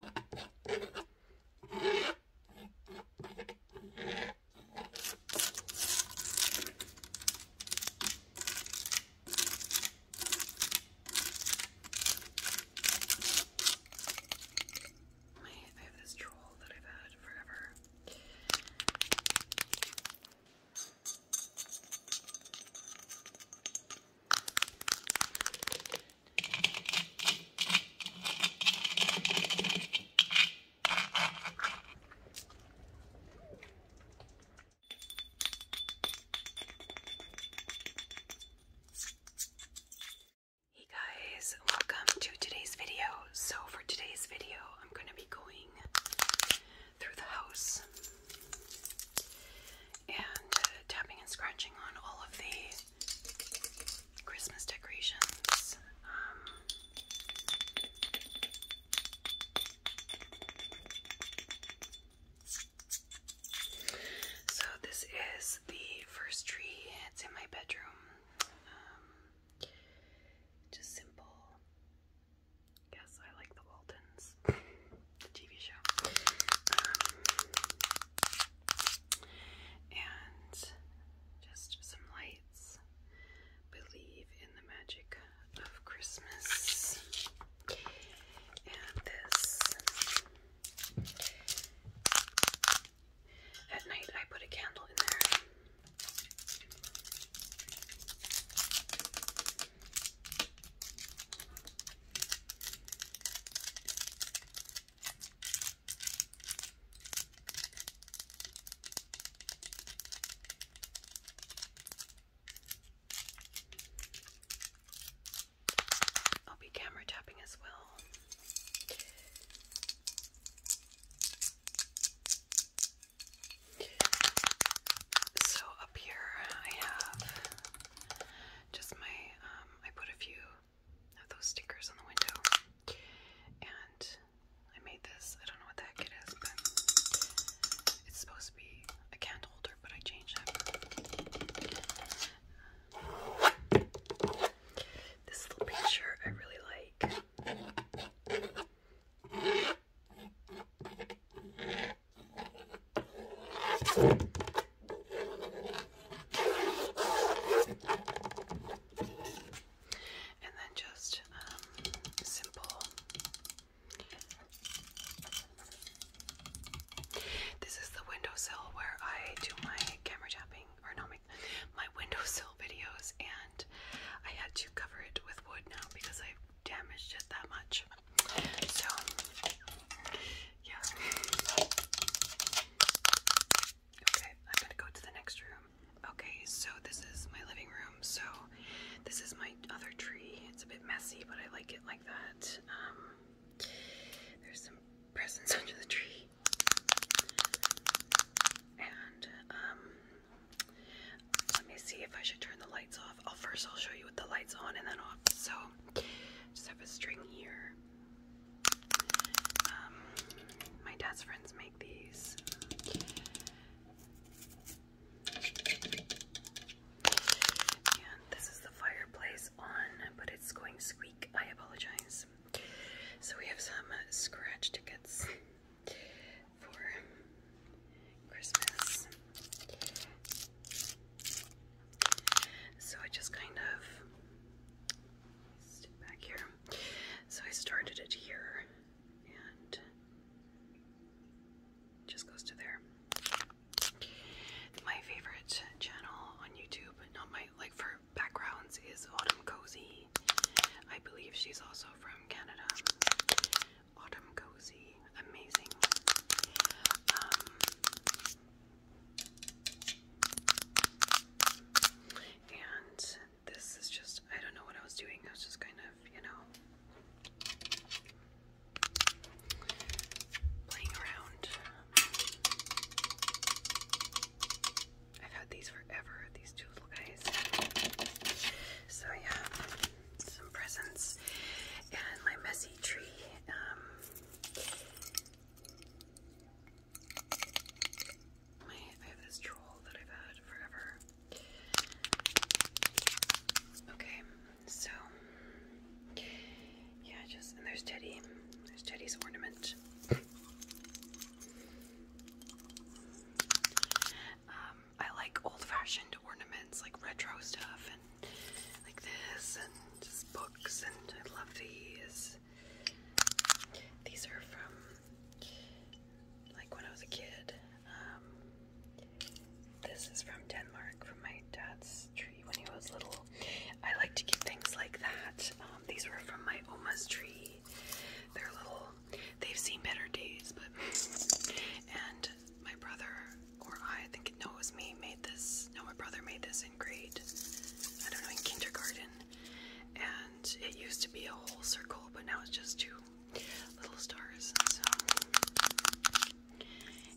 I have this troll that I've had forever. Hey guys, welcome to today's video. So, for today's video, I'm going to be going through the house and uh, tapping and scratching on all of the Christmas decorations. Um, so this is the first tree. It's in my bedroom. Um, just simple. Yes, I like the Waltons, the TV show. Um, and just some lights. Believe in the magic of Christmas. And this. At night, I put a candle in there. I'll be camera tapping as well. So up here I have just my um, I put a few of those stickers on the window. And I made this. I don't know what the heck it is, but it's supposed to be a candle holder, but I changed it. This little picture I really like. And then just um, simple. This is the windowsill where I do my camera tapping, or no, my, my windowsill videos, and I had to cover it with wood now because I've damaged it that much. So yeah. Okay, I'm gonna go to the next room. Okay, so this is my living room. So this is my other tree. It's a bit messy, but I like it like that. Um, there's some presents under the tree. And um, let me see if I should turn the lights off. I'll oh, first I'll show you with the lights on and then off. So just have a string here. Um, my dad's friends make these. And this is the fireplace on, but it's going squeak. I apologize. So we have some scratch tickets for Christmas. So I just kind of stood back here. So I started it here and just goes to there. My favorite channel on YouTube, not my like for backgrounds, is Autumn Cozy. I believe she's also from Canada. Autumn Cozy, amazing. Um, and this is just, I don't know what I was doing. I was just kind of, you know, playing around. I've had these forever, these two little guys. So yeah, some presents and my messy tree. Um, I have this troll that I've had forever. Okay, so yeah, just and there's Teddy. There's Teddy's ornament. Um, I like old-fashioned ornaments, like retro stuff, and like this, and just books, and I love these. These are from like when I was a kid. Um, this is from Denmark, from my dad's tree when he was little. I like to keep things like that. Um, these were from my oma's tree. They're little. They've seen better days, but and my brother or I, I think no, it was me made this. No, my brother made this in grade. I don't know in kindergarten and it used to be a whole circle, but now it's just two little stars. So,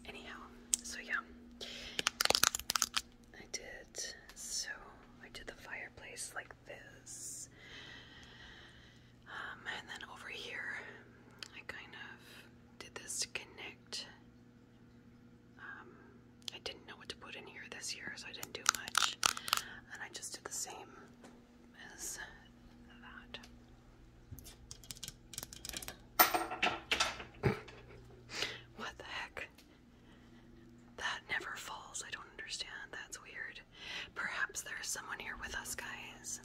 anyhow, so yeah, I did. So I did the fireplace like this, um, and then over here, I kind of did this to connect um, I didn't know what to put in here this year, so I didn't do much. And I just did the same as that. what the heck? That never falls. I don't understand. That's weird. Perhaps there's someone here with us, guys.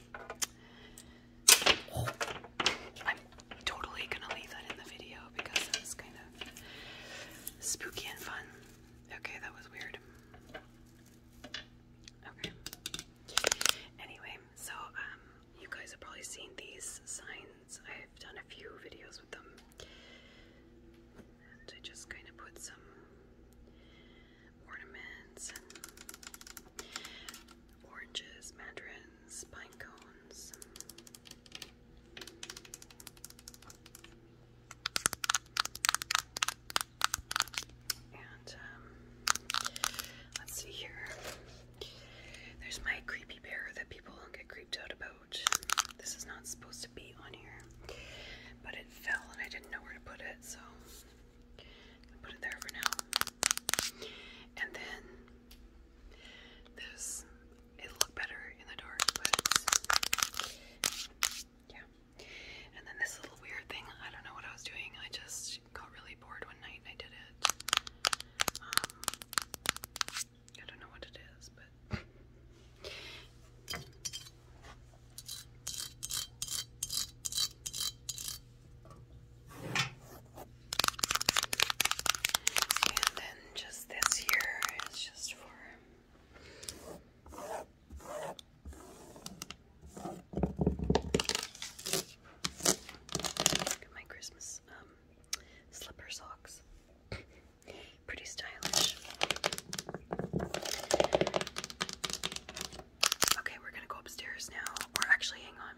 I'm totally gonna leave that in the video because that's kind of Spooky and fun. Okay, that was weird. Okay. Anyway, so um, you guys have probably seen these signs. I've done a few videos with them. I just kind of put some ornaments oranges, mandarins, pine cones, and um, let's see here. There's my creepy bear that people get creeped out about. This is not supposed to be on here, but it fell and I didn't know where to put it, so I put it there for now. And then this it looked better in the dark, yeah. And then this little weird thing, I don't know what I was doing. I just got really bored one night and I did it. Um, I don't know what it is, but And then just this here is just Look at my Christmas um, slipper socks. Pretty stylish. Okay, we're gonna go upstairs now. Or actually, hang on.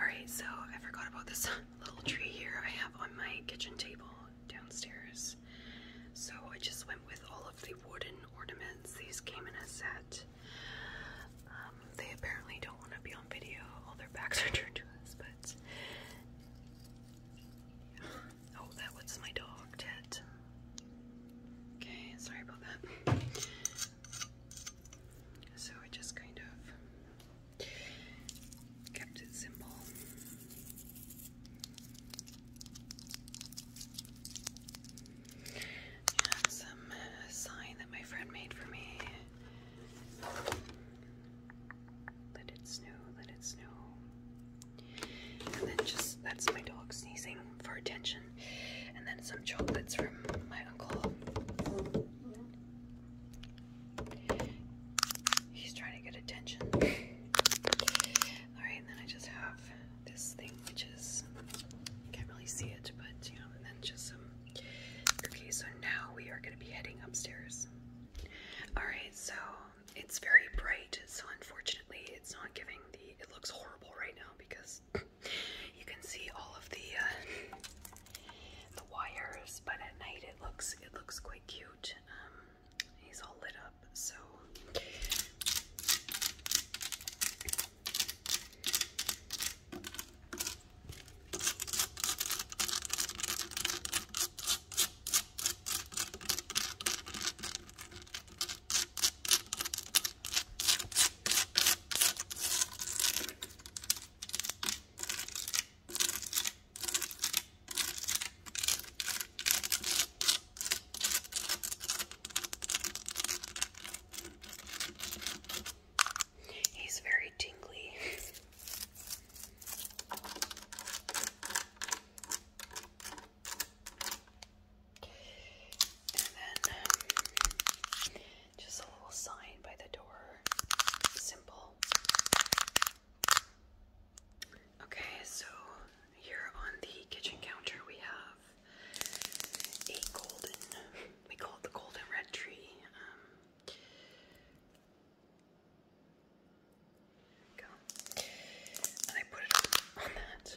Alright, so I forgot about this little tree here I have on my kitchen table downstairs. So I just went with all of the wooden ornaments. These came in a set. Um, they apparently don't want to be on video. All their backs are turned to us, but. Oh, that was my dog, Ted. Okay, sorry about that. So I just kind of Kept it simple. some uh, sign that my friend made for me. Let it snow, let it snow. And then just, that's my dog sneezing for attention. And then some chocolates from my uncle. He's trying to get attention. Alright, and then I just have this thing which is I can't really see it, but you and then just some okay, so now we are gonna be heading upstairs. Alright, so it's very bright, so unfortunately it's not giving the it looks horrible right now because you can see all of the uh, the wires, but at night it looks it looks quite cute. Um, he's all lit up, so He's very tingly. and then um, just a little sign by the door. Simple. Okay, so here on the kitchen counter we have a golden, we call it the golden red tree. Um, go. And I put it on that.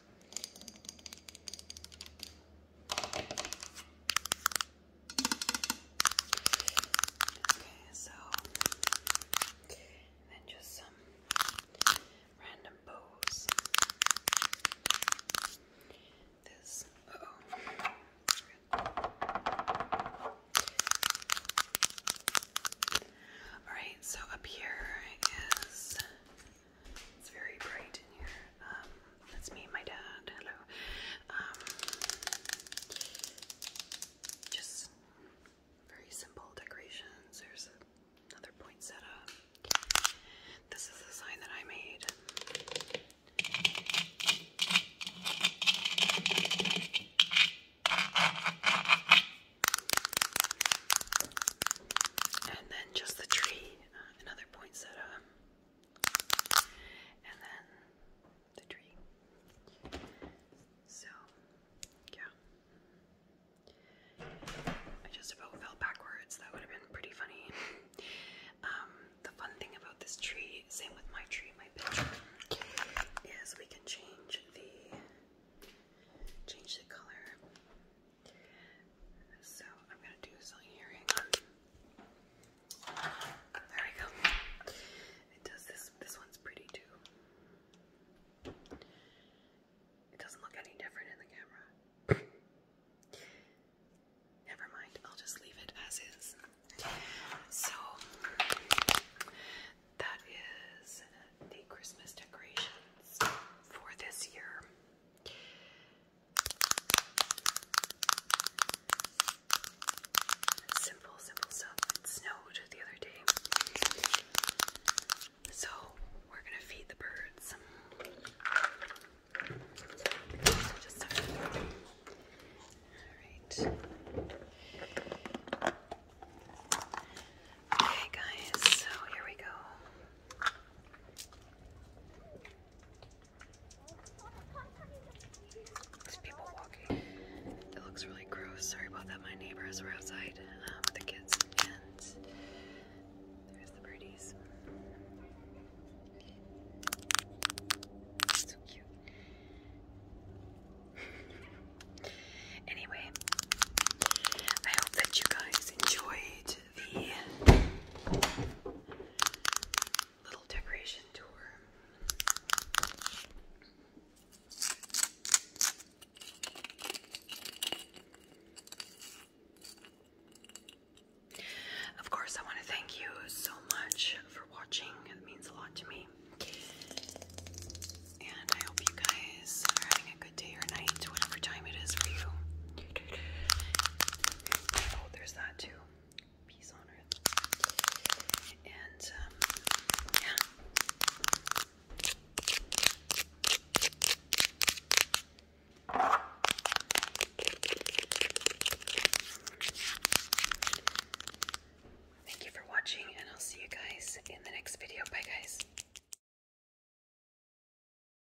Okay, so then just some random bows. This oh. Alright, so up here is it's very bright in here. Um, that's me my dad. Hello. Um, just very simple decorations. There's another poinsettia. This is the sign that I made. And then just the tree. Uh, another poinsettia, and then the tree. So, yeah. I just about fell backwards. That would have been pretty funny. Um, the fun thing about this tree, same with my tree, my picture, is we can change the change the color. So I'm gonna do something here. There we go. It does this. This one's pretty too. It doesn't look any different in the camera. Never mind. I'll just leave it as is. So that is the Christmas decorations for this year. Simple, simple stuff. It snowed the other day. So we're gonna feed the birds. Alright. Okay guys, so here we go. There's people walking. It looks really gross. Sorry about that. My neighbors were outside, um, with the kids, and there's the birdies. So cute. anyway, I hope that you guys enjoyed the little decoration tour. Of course, I want to thank you so much for watching. It means a lot to me. And I hope you guys are having a good day or night, whatever time it is for you. Oh, there's that too. Peace on earth. And um, yeah. Thank you for watching, and I'll see you guys in the next video. Bye, guys.